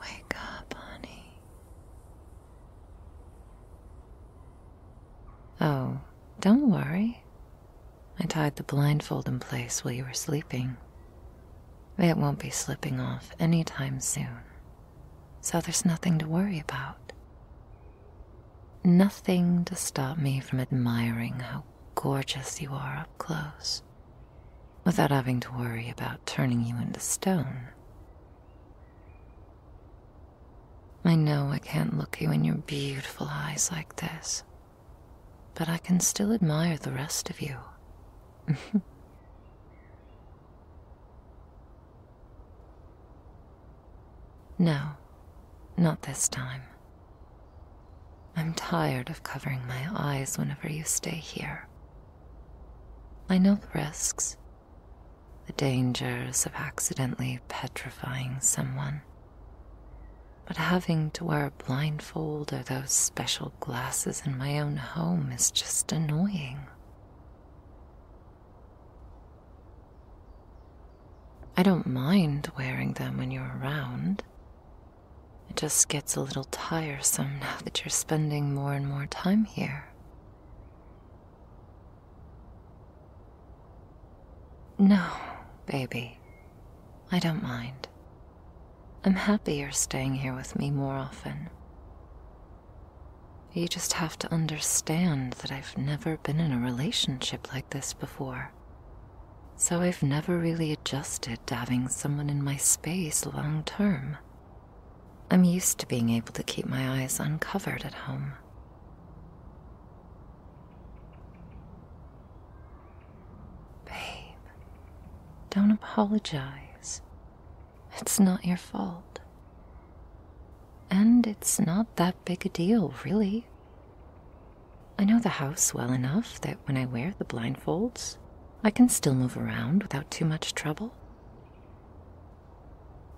Wake up, honey. Oh, don't worry. I tied the blindfold in place while you were sleeping. It won't be slipping off anytime soon, so there's nothing to worry about. Nothing to stop me from admiring how gorgeous you are up close without having to worry about turning you into stone. I know I can't look you in your beautiful eyes like this, but I can still admire the rest of you. No, not this time. I'm tired of covering my eyes whenever you stay here. I know the risks, the dangers of accidentally petrifying someone. But having to wear a blindfold or those special glasses in my own home is just annoying. I don't mind wearing them when you're around. It just gets a little tiresome now that you're spending more and more time here. No, baby, I don't mind. I'm happy you're staying here with me more often. You just have to understand that I've never been in a relationship like this before. So I've never really adjusted to having someone in my space long term. I'm used to being able to keep my eyes uncovered at home. Babe, don't apologize. It's not your fault. And it's not that big a deal, really. I know the house well enough that when I wear the blindfolds, I can still move around without too much trouble.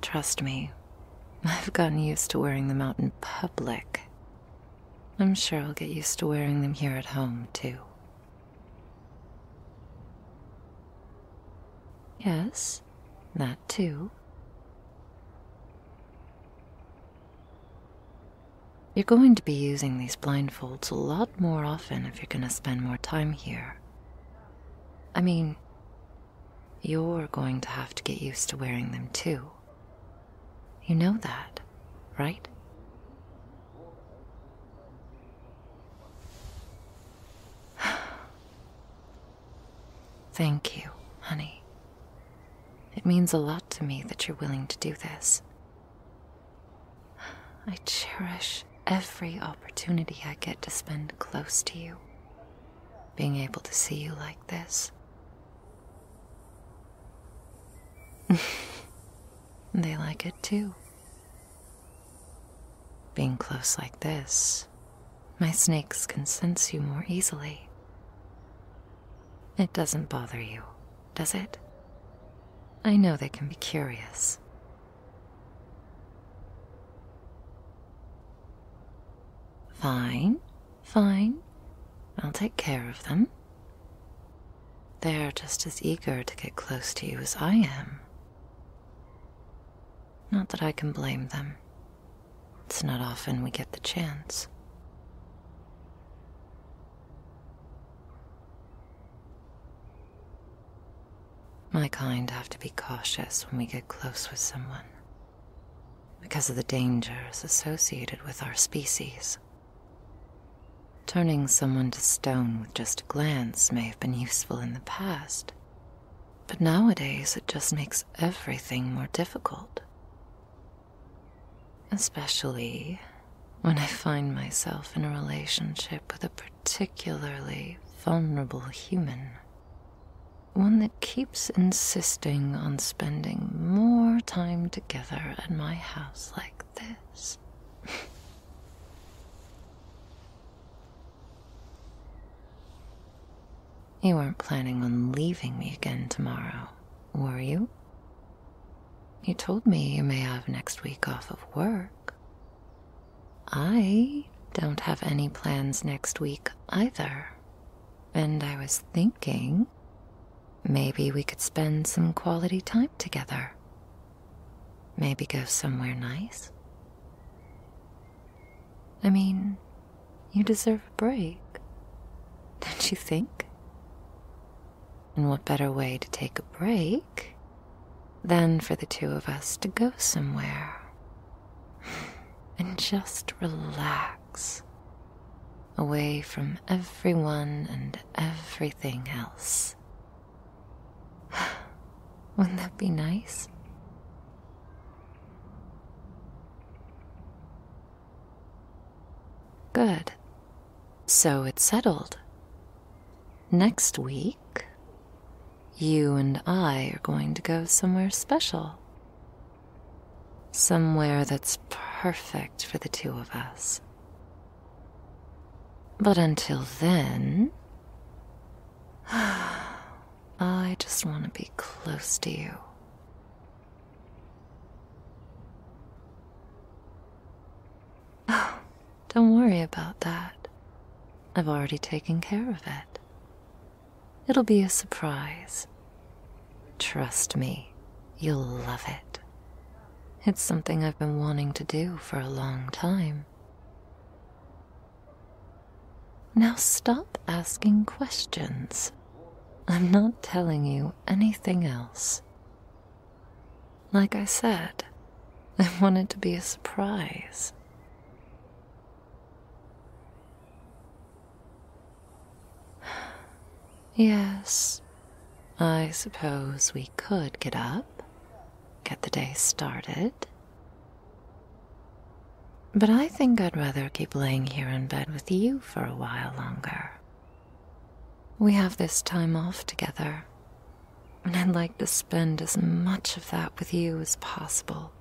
Trust me, I've gotten used to wearing them out in public. I'm sure I'll get used to wearing them here at home, too. Yes? Yes, that too. You're going to be using these blindfolds a lot more often if you're going to spend more time here. I mean, you're going to have to get used to wearing them too. You know that, right? Thank you, honey. It means a lot to me that you're willing to do this. I cherish every opportunity I get to spend close to you. Being able to see you like this. they like it too. Being close like this, my snakes can sense you more easily. It doesn't bother you, does it? I know they can be curious. Fine, fine. I'll take care of them. They're just as eager to get close to you as I am. Not that I can blame them. It's not often we get the chance. My kind have to be cautious when we get close with someone because of the dangers associated with our species. Turning someone to stone with just a glance may have been useful in the past, but nowadays, it just makes everything more difficult. Especially when I find myself in a relationship with a particularly vulnerable human. One that keeps insisting on spending more time together at my house like this. You weren't planning on leaving me again tomorrow, were you? You told me you may have next week off of work. I don't have any plans next week either. And I was thinking maybe we could spend some quality time together Maybe go somewhere nice? I mean, you deserve a break, don't you think? And what better way to take a break than for the two of us to go somewhere and just relax away from everyone and everything else? Wouldn't that be nice? Good. So it's settled. Next week, you and I are going to go somewhere special. Somewhere that's perfect for the two of us. But until then, I just want to be close to you. Oh, don't worry about that. I've already taken care of it. It'll be a surprise. Trust me, you'll love it. It's something I've been wanting to do for a long time. Now stop asking questions. I'm not telling you anything else. Like I said, I want it to be a surprise. Yes, I suppose we could get up, get the day started. But I think I'd rather keep laying here in bed with you for a while longer. We have this time off together, and I'd like to spend as much of that with you as possible,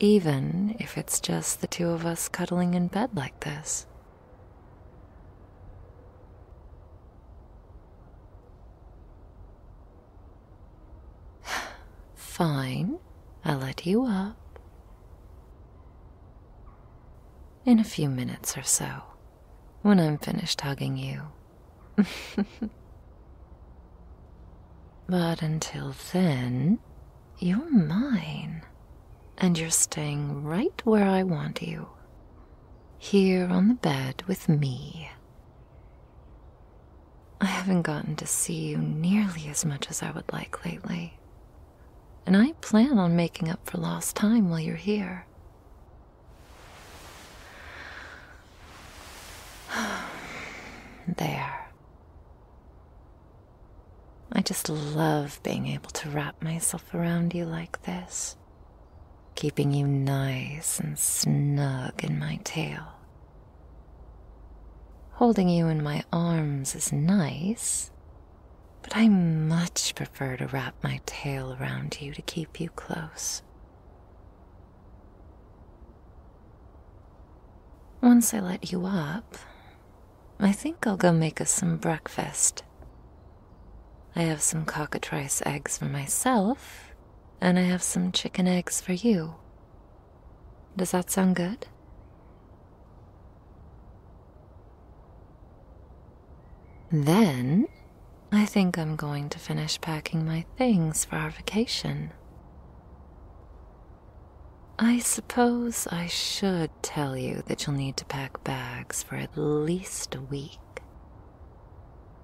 even if it's just the two of us cuddling in bed like this. Fine, I'll let you up in a few minutes or so when I'm finished hugging you. but until then, you're mine, and you're staying right where I want you here on the bed with me. I haven't gotten to see you nearly as much as I would like lately, and I plan on making up for lost time while you're here. there. I just love being able to wrap myself around you like this, keeping you nice and snug in my tail. Holding you in my arms is nice, but I much prefer to wrap my tail around you to keep you close. Once I let you up, I think I'll go make us some breakfast. I have some cockatrice eggs for myself, and I have some chicken eggs for you. Does that sound good? Then, I think I'm going to finish packing my things for our vacation. I suppose I should tell you that you'll need to pack bags for at least a week.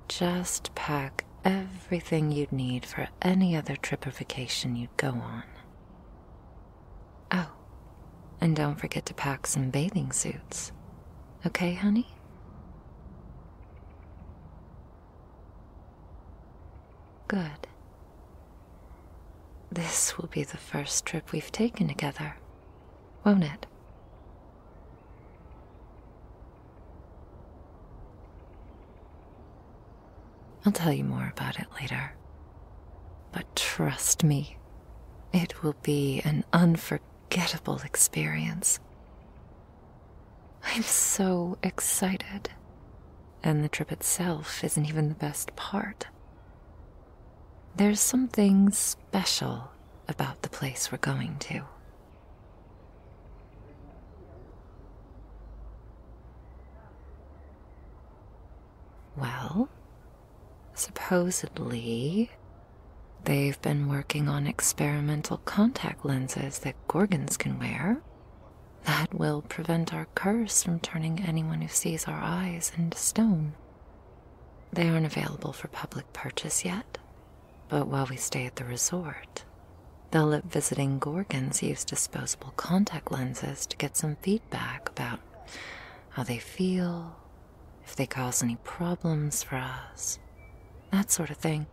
Just pack everything you'd need for any other trip or vacation you'd go on. Oh, and don't forget to pack some bathing suits. Okay, honey? Good. This will be the first trip we've taken together, won't it? I'll tell you more about it later. But trust me, it will be an unforgettable experience. I'm so excited and the trip itself isn't even the best part. There's something special about the place we're going to. Well, supposedly, they've been working on experimental contact lenses that Gorgons can wear. That will prevent our curse from turning anyone who sees our eyes into stone. They aren't available for public purchase yet, but while we stay at the resort, they'll let visiting Gorgons use disposable contact lenses to get some feedback about how they feel, if they cause any problems for us, that sort of thing.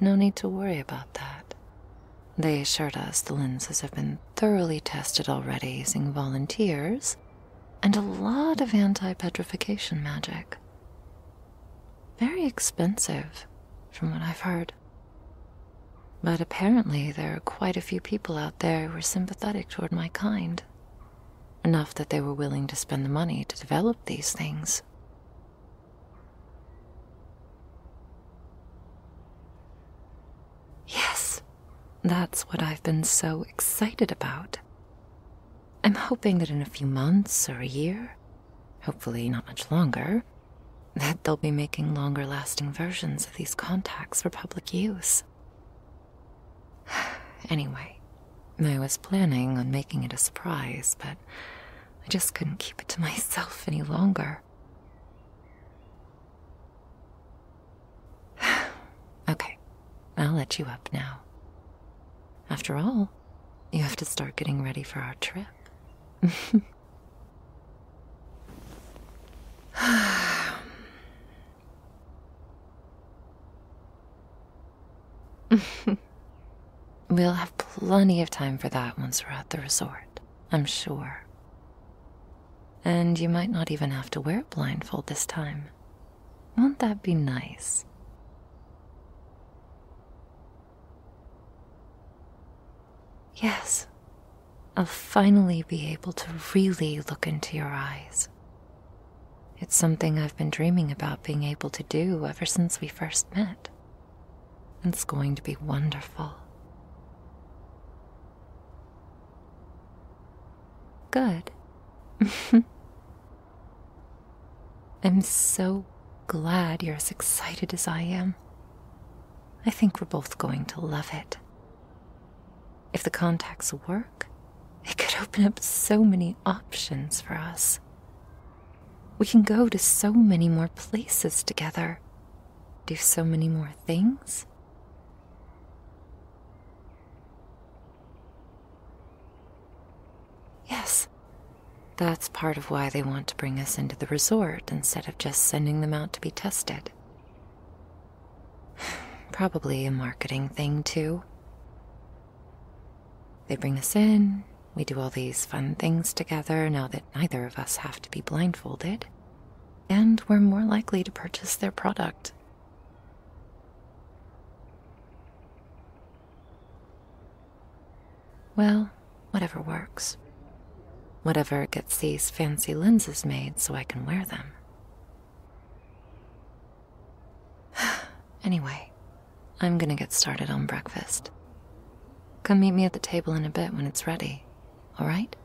No need to worry about that. They assured us the lenses have been thoroughly tested already using volunteers and a lot of anti petrification magic. Very expensive, from what I've heard. But apparently, there are quite a few people out there who are sympathetic toward my kind enough that they were willing to spend the money to develop these things. Yes, that's what I've been so excited about. I'm hoping that in a few months or a year, hopefully not much longer, that they'll be making longer lasting versions of these contacts for public use. anyway, I was planning on making it a surprise, but I just couldn't keep it to myself any longer. okay, I'll let you up now. After all, you have to start getting ready for our trip. we'll have plenty of time for that once we're at the resort, I'm sure. And you might not even have to wear a blindfold this time. Won't that be nice? Yes, I'll finally be able to really look into your eyes it's something I've been dreaming about being able to do ever since we first met. And it's going to be wonderful. Good. I'm so glad you're as excited as I am. I think we're both going to love it. If the contacts work, it could open up so many options for us. We can go to so many more places together, do so many more things. Yes, that's part of why they want to bring us into the resort instead of just sending them out to be tested. Probably a marketing thing, too. They bring us in, we do all these fun things together now that neither of us have to be blindfolded, and we're more likely to purchase their product. Well, whatever works. Whatever gets these fancy lenses made so I can wear them. anyway, I'm gonna get started on breakfast. Come meet me at the table in a bit when it's ready, alright?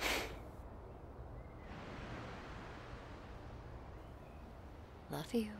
Love you.